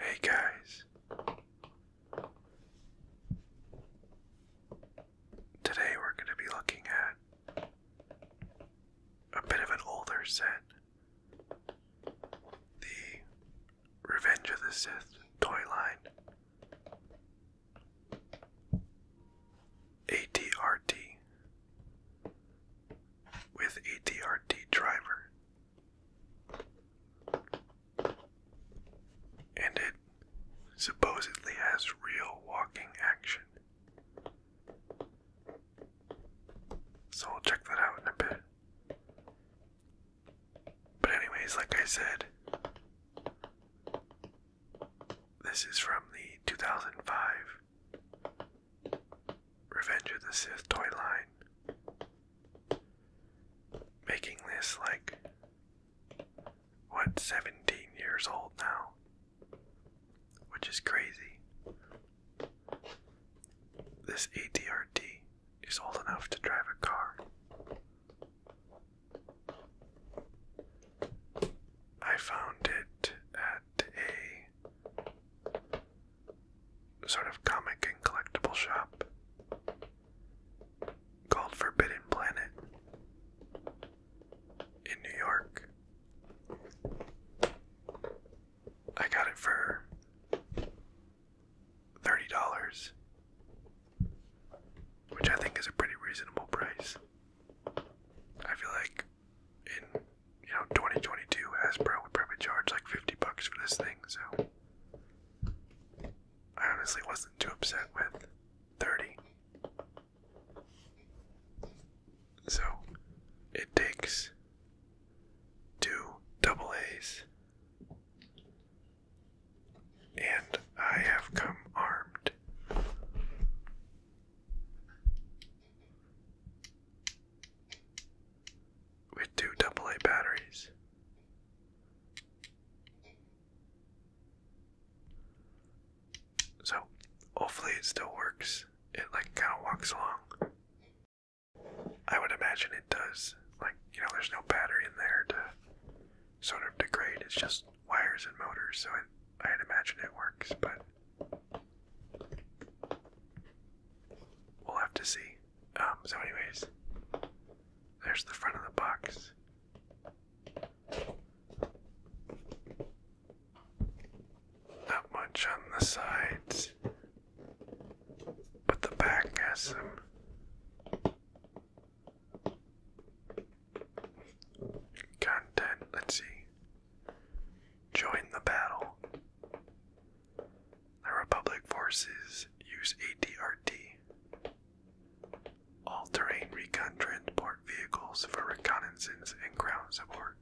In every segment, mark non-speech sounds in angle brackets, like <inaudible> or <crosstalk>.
Hey guys. Today we're going to be looking at a bit of an older set. The Revenge of the Sith toy line. ATRT with a DRT driver. And it supposedly has real walking action. So I'll check that out in a bit. But, anyways, like I said, this is from the 2005 Revenge of the Sith toy line. Making this like, what, 17 years old now? Which is crazy. This ATRT is old enough to drive a car. I found it at a sort of comic and collectible shop called Forbidden Planet in New York. I got it for $30, which I think is a pretty reasonable price. I feel like in you know, 2022 As Hasbro would probably charge like 50 bucks for this thing, so I honestly wasn't too upset with 30. So it takes two double A's. And I have come armed with two double A batteries. So hopefully it still works. It like kind of walks along. I would imagine it does. Like, you know, there's no battery in there to sort of degrade. It's just wires and motors, so it, i imagine it works, but We'll have to see. Um, so anyways, there's the front of the box. Not much on the sides, but the back has some content. Let's see. Join the battle. The Republic forces use ATRT, all terrain recon transport vehicles for reconnaissance and ground support.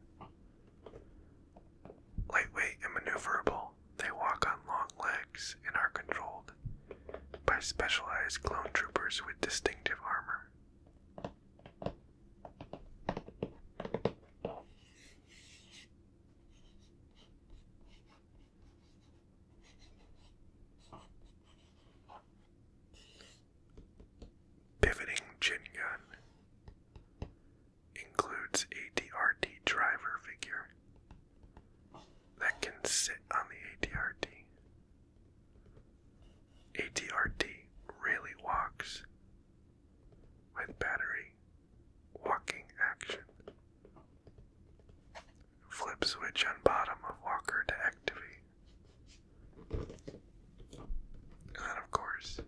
Lightweight and maneuverable, they walk on long legs and are controlled by specialized clone troopers with distinctive armor. Pivoting chin gun includes a DRT driver figure that can sit on the ATRT. ATRT really walks with battery, walking action. Flip switch on bottom of walker to activate. And of course,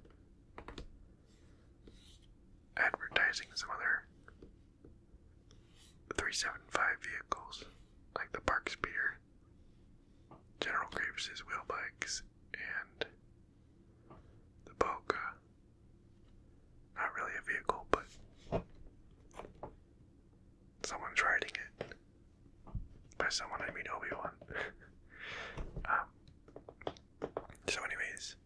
advertising some other 375 vehicles like the Park Speeder, General Graves' wheel bikes, and the Boca. Not really a vehicle, but someone's riding it. By someone, I mean Obi-Wan. <laughs> Um, so anyways,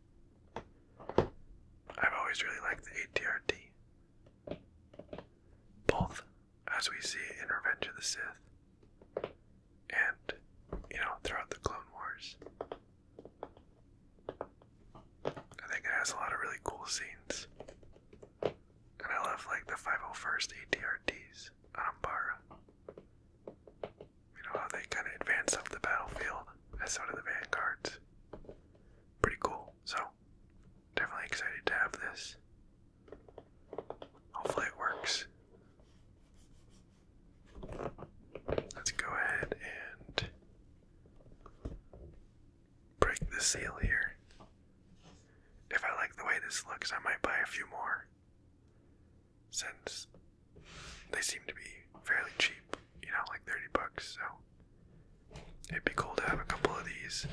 I've always really liked the ATRT. Both as we see in Revenge of the Sith and you know throughout the Clone Wars. I think it has a lot of really cool scenes, and I love like the 501st ATRTs on You know how they kind of advance up the battlefield as sort of the vanguards. Pretty cool. So definitely excited to have this. Hopefully it works. Let's go ahead and break the seal here. If I like the way this looks, I might buy a few more since they seem to be fairly cheap, you know, like 30 bucks. So it'd be cool to have a couple of these.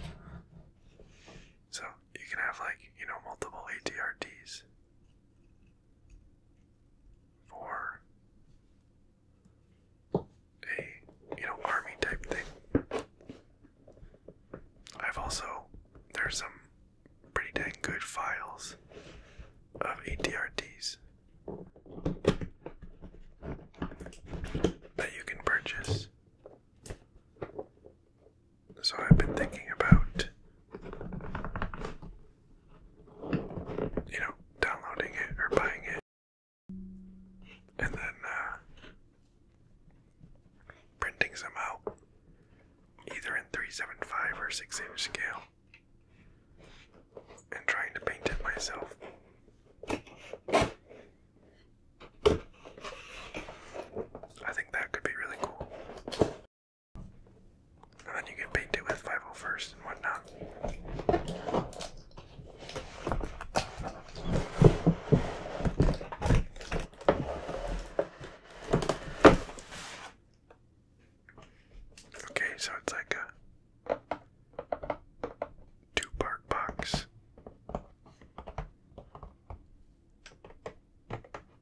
So you can have, like, you know, multiple ATRTs for a you know army type thing. I've also there's some pretty dang good files of ADRDs that you can purchase so I've been thinking about, you know, downloading it or buying it, and then uh, printing some out, either in 375 or 6 inch scale, and trying to paint it myself. I think that could be really cool. And then you can paint it with 501st and whatnot. Okay, so it's like a two part box.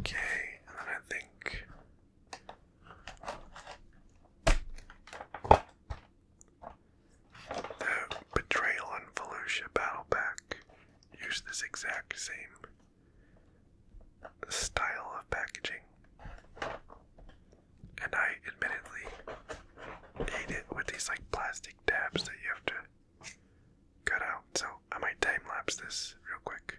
Okay, and I think the Betrayal and Volusia battle pack use this exact same style of packaging. And I admittedly ate it with these like plastic tabs that you have to cut out. So I might time lapse this real quick.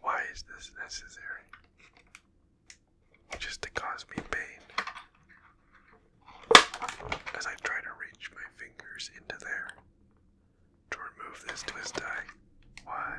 Why is this necessary? Just to cause me pain. As I try to reach my fingers into there to remove this twist tie. Why?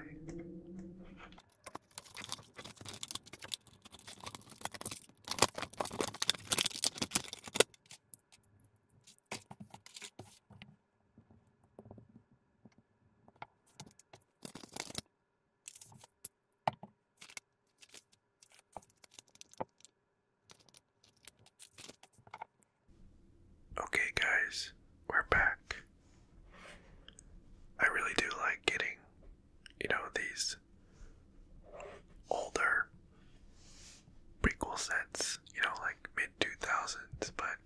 Okay, guys, we're back. I really do like getting, you know, these older prequel sets, you know, like mid 2000s, but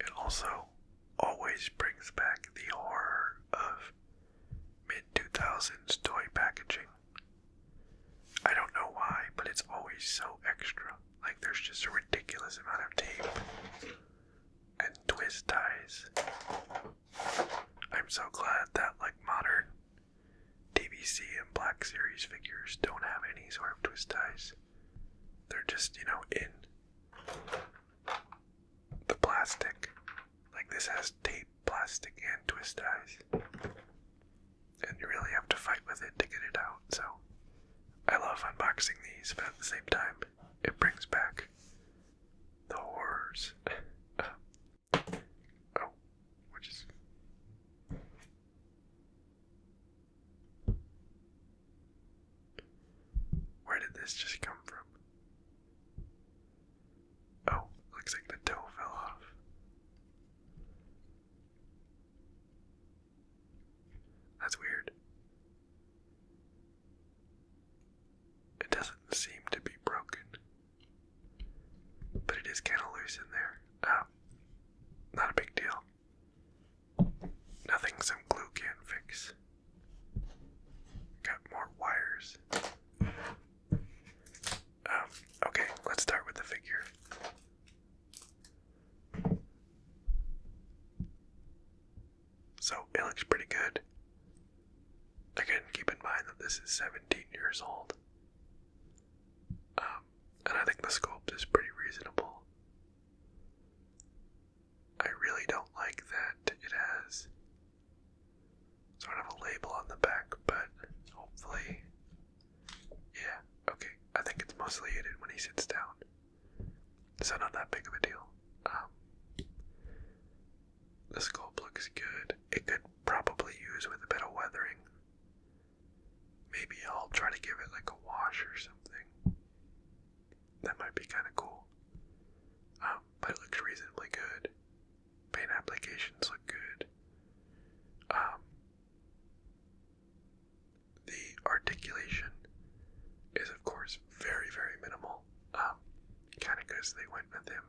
it also always brings back the horror of mid 2000s toy packaging. I don't know why, but it's always so extra. Like there's just a ridiculous amount of tape and twist ties. I'm so glad that like modern DVC and Black Series figures don't have any sort of twist ties. They're just, you know, in the plastic. Like this has tape, plastic, and twist ties. And you really have to fight with it to get it out. So I love unboxing these, but at the same time, it brings back the horrors. <laughs> Um, oh, which is. Where did this just come from? Oh, looks like the toe fell off. That's weird. It doesn't seem to be broken, but it is kind of loose in there. Um, not a big deal. Nothing some glue can't fix. Got more wires. Um, okay, let's start with the figure. So it looks pretty good. Again, keep in mind that this is 17 years old. Um, and I think the sculpt is pretty reasonable. I really don't like that it has sort of a label on the back, but hopefully. Yeah, okay. I think it's mostly hidden when he sits down. So, not that big of a deal. Um, the sculpt looks good. It could probably use with a bit of weathering. Maybe I'll try to give it like a wash or something that might be kind of cool. Um, but it looks reasonably good. Paint applications look good. Um, the articulation is, of course, very, very minimal. Um, kind of because they went with him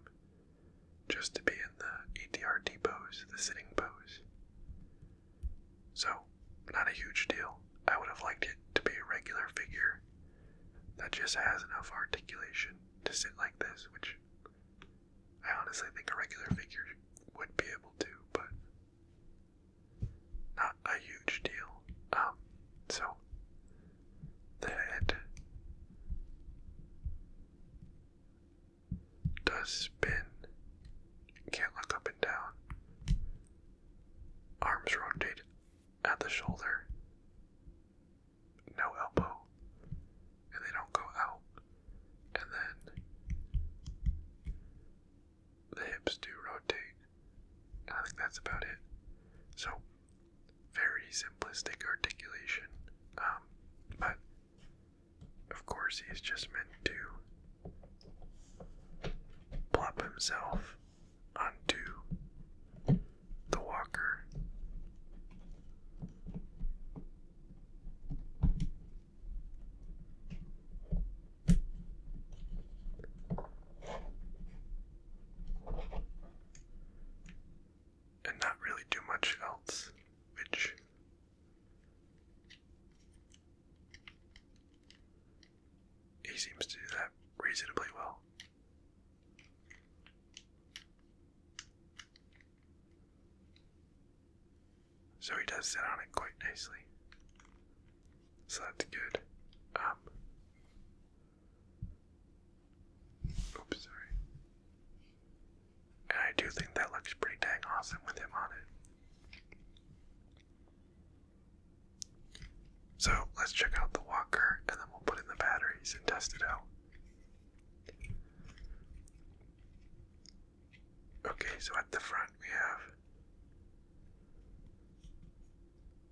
just to be in the ETR pose, the sitting pose. So, not a huge deal. I would have liked it to be a regular figure that just has enough articulation to sit like this, which I honestly think a regular figure would be able to, but not a huge deal. Um, so the head does spin. can't look up and down. Arms rotate at the shoulder. No elbow. And they don't go out. And then the hips do rotate. I think that's about it. So, very simplistic articulation. Um, but of course, he's just meant to plop himself onto the walker. And not really do much else, which he seems to do that reasonably well. So he does sit on it quite nicely. So that's good. Um, oops, sorry. And I do think that looks pretty dang awesome with him on it. So let's check out the walker and then we'll put in the batteries and test it out. Okay, so at the front we have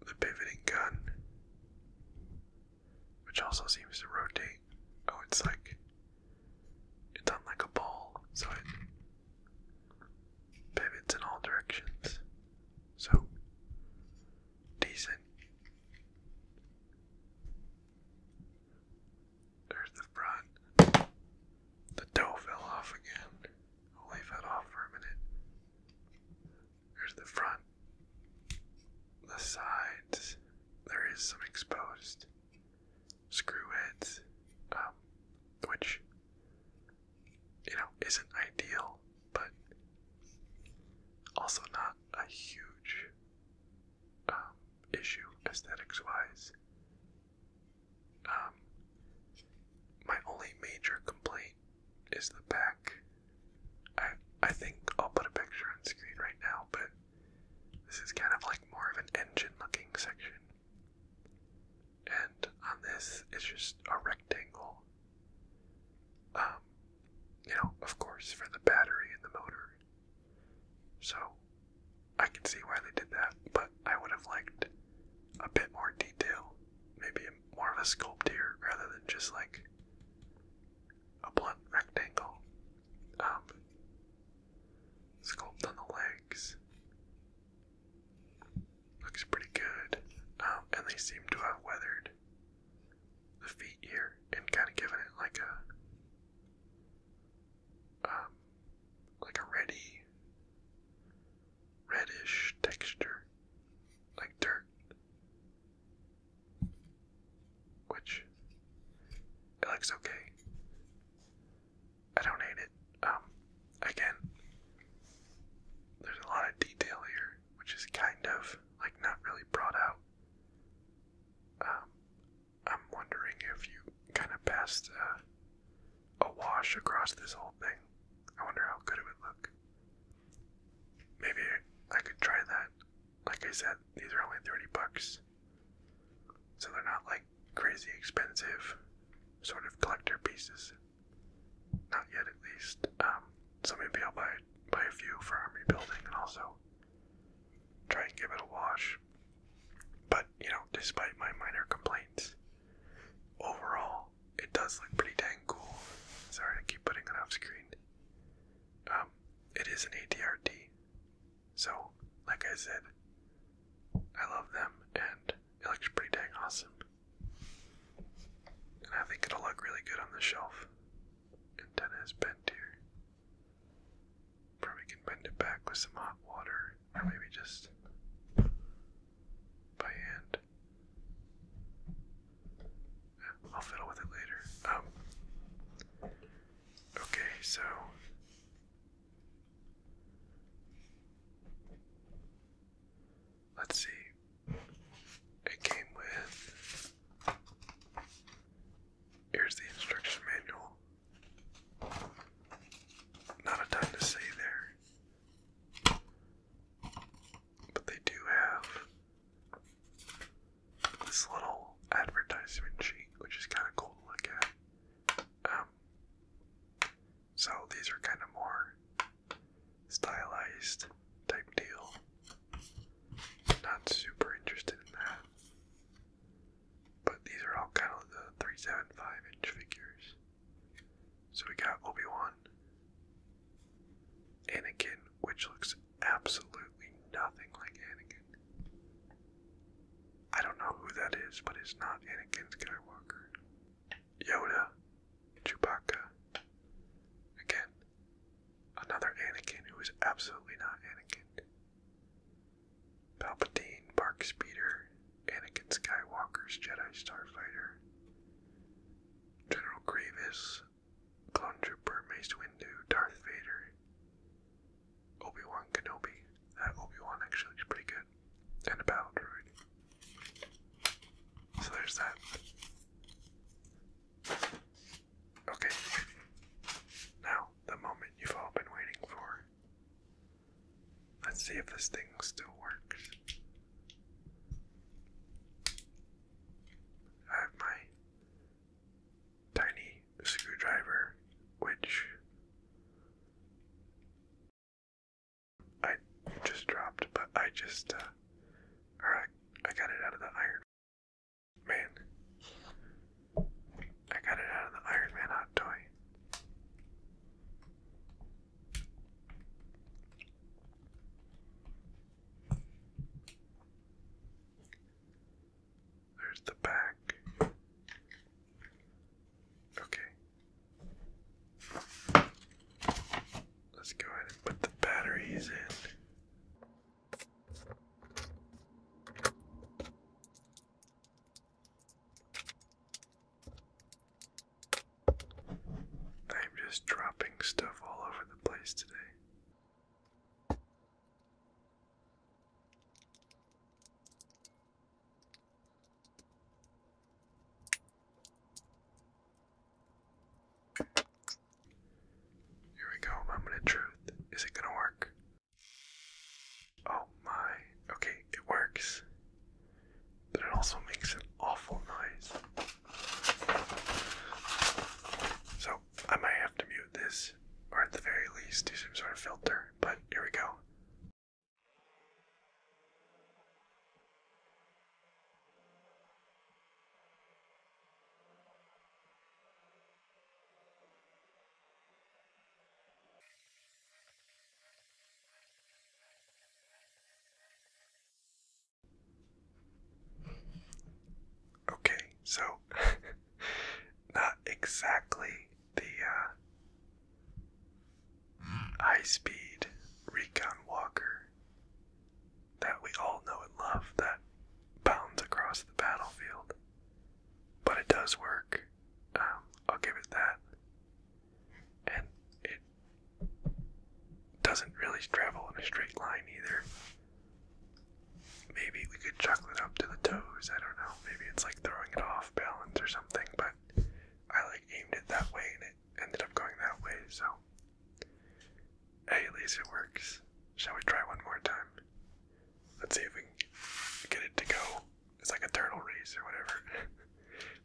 the pivoting gun, which also seems to rotate. Oh, it's like it's on like a ball, so it pivots in all directions. So, decent. There's the front. The toe fell off again. I'll leave that off for a minute. There's the front. The sides. There is some exposed screw heads, um, which you know, isn't ideal, but also not a huge um, issue aesthetics wise. Um, my only major complaint is the back. I I think I'll put a picture on screen right now, but this is kind of like more of an engine looking section. And on this, it's just a rectangle. Um, you know, of course, for the battery and the motor. So, I can see why they did that, but I would have liked a bit more detail. Maybe more of a sculpt here rather than just like a blunt rectangle. Um, on the legs looks pretty good. Um, and they seem to have weathered the feet here and kind of given it like a, um, like a reddy, reddish texture, like dirt, which it looks okay. I don't hate it. Um, again, there's a lot of detail here, which is kind of like not really brought out. Um, I'm wondering if you kind of passed uh, a, wash across this whole thing. I wonder how good it would look. Maybe I could try that. Like I said, these are only 30 bucks. So they're not like crazy expensive sort of collector pieces. Not yet, at least. Um, so maybe I'll buy buy a few for army building and also try and give it a wash. But you know, despite my minor complaints, overall it does look pretty dang cool. Sorry to keep putting it off screen. Um, it is an ATRT, so like I said, I love them and it looks pretty dang awesome. And I think it'll look really good on the shelf. Antenna is bent here. Probably can bend it back with some hot water, or maybe just by hand. I'll fiddle with it later. Um, okay, so let's see. It came with. Here's the instruction manual. Not a ton to say there. But they do have this little advertisement sheet, which is kind of cool to look at. Um, so these are kind of more stylized type deal. Not super interested in that. But these are all kind of the 375 inch figures. So we got Obi Wan, Anakin, which looks absolutely nothing like Anakin. I don't know who that is, but it's not Anakin Skywalker. Yoda, Chewbacca. Again, another Anakin who is absolutely not Anakin. Palpatine, Bark Speeder, Anakin Skywalker's Jedi Starfighter, General Grievous, Clone Trooper, Mace Windu, Darth Vader, Obi Wan Kenobi. That Obi Wan actually is pretty good and a battle droid. So there's that. Okay. Now, the moment you've all been waiting for. Let's see if this thing still works. I have my tiny screwdriver, which I just dropped, but I just, uh, or I, I got it out of the Iron Man. I got it out of the Iron Man hot toy. There's the back. Okay, Let's go ahead and put the batteries in. I'm just dropping stuff all over the place today. Here we go, moment of truth. Is it gonna work? Oh my. Okay, it works. But it also makes an awful noise. So I might have to mute this, or at the very least, do some sort of filter. But here we go. Okay, so <laughs> not exactly the uh high speed recon walker that we all know and love that bounds across the battlefield. But it does work. Um, I'll give it that. And it doesn't really travel in a straight line either. Maybe we could chuck it up to the toes. I don't know. Maybe it's like throwing it off balance or something, but I like aimed it that way and it ended up going that way, so hey, at least it works. Shall we try one more time? Let's see if we can get it to go. It's like a turtle race or whatever <laughs>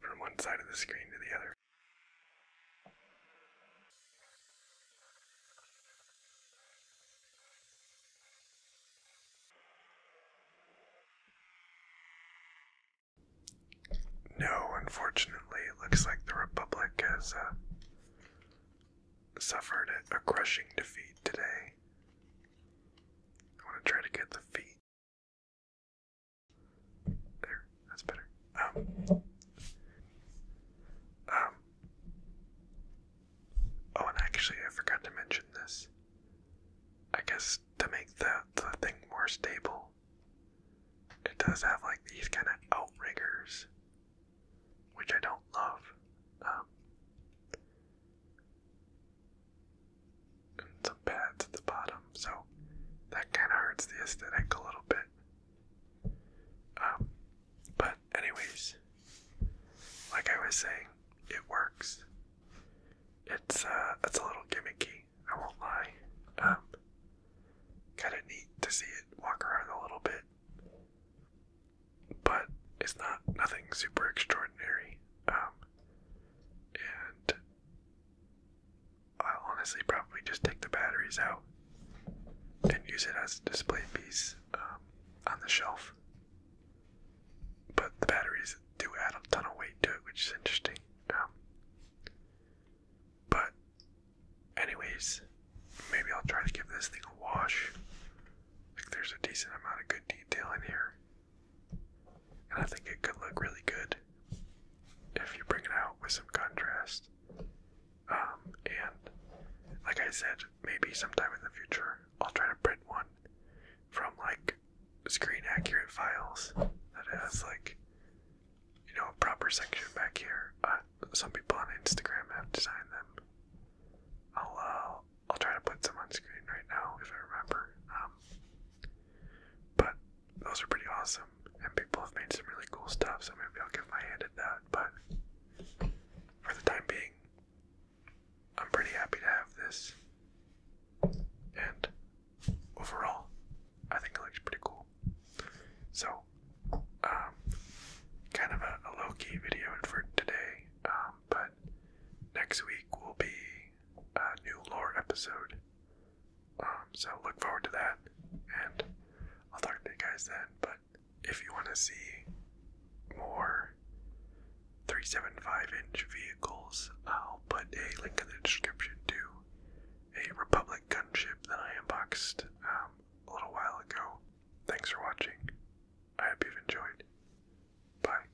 from one side of the screen to the other. No, unfortunately, it looks like the Republic has uh, suffered a, a crushing defeat today. I want to try to get the feet. There, that's better. Um, um, oh, and actually, I forgot to mention this. I guess to make the, the thing more stable, it does have like these kind of outriggers, which I don't love. Um, and some pads at the bottom, so that kind of hurts the aesthetic a little bit. Um, but, anyways, like I was saying, it works. It's uh, it's a little gimmicky. I won't lie. Um, kind of neat to see it walk around a little bit, but it's not nothing super extraordinary. Um, and I'll honestly probably just take the batteries out and use it as a display piece um, on the shelf. But the batteries do add a ton of weight to it, which is interesting. But, anyways, maybe I'll try to give this thing a wash. Like, there's a decent amount of good detail in here. And I think it could look really good if you bring it out with some contrast. Um, and, like I said, maybe sometime in the future I'll try to print one from like screen accurate files that has like you know, proper section back here. Uh, some people on Instagram have designed them. I'll uh, I'll try to put some on screen right now if I remember. Um, but those are pretty awesome, and people have made some really cool stuff. So maybe I'll give my hand at that. But for the time being, I'm pretty happy to have this, and overall, I think it looks pretty cool. So, um, kind of a, a low key video for today, um, but next week will be a new lore episode. Um, so look forward to that, and I'll talk to you guys then. But if you want to see more 375 inch vehicles, I'll put a link in the description too a Republic gunship that I unboxed um, a little while ago. Thanks for watching. I hope you've enjoyed. Bye.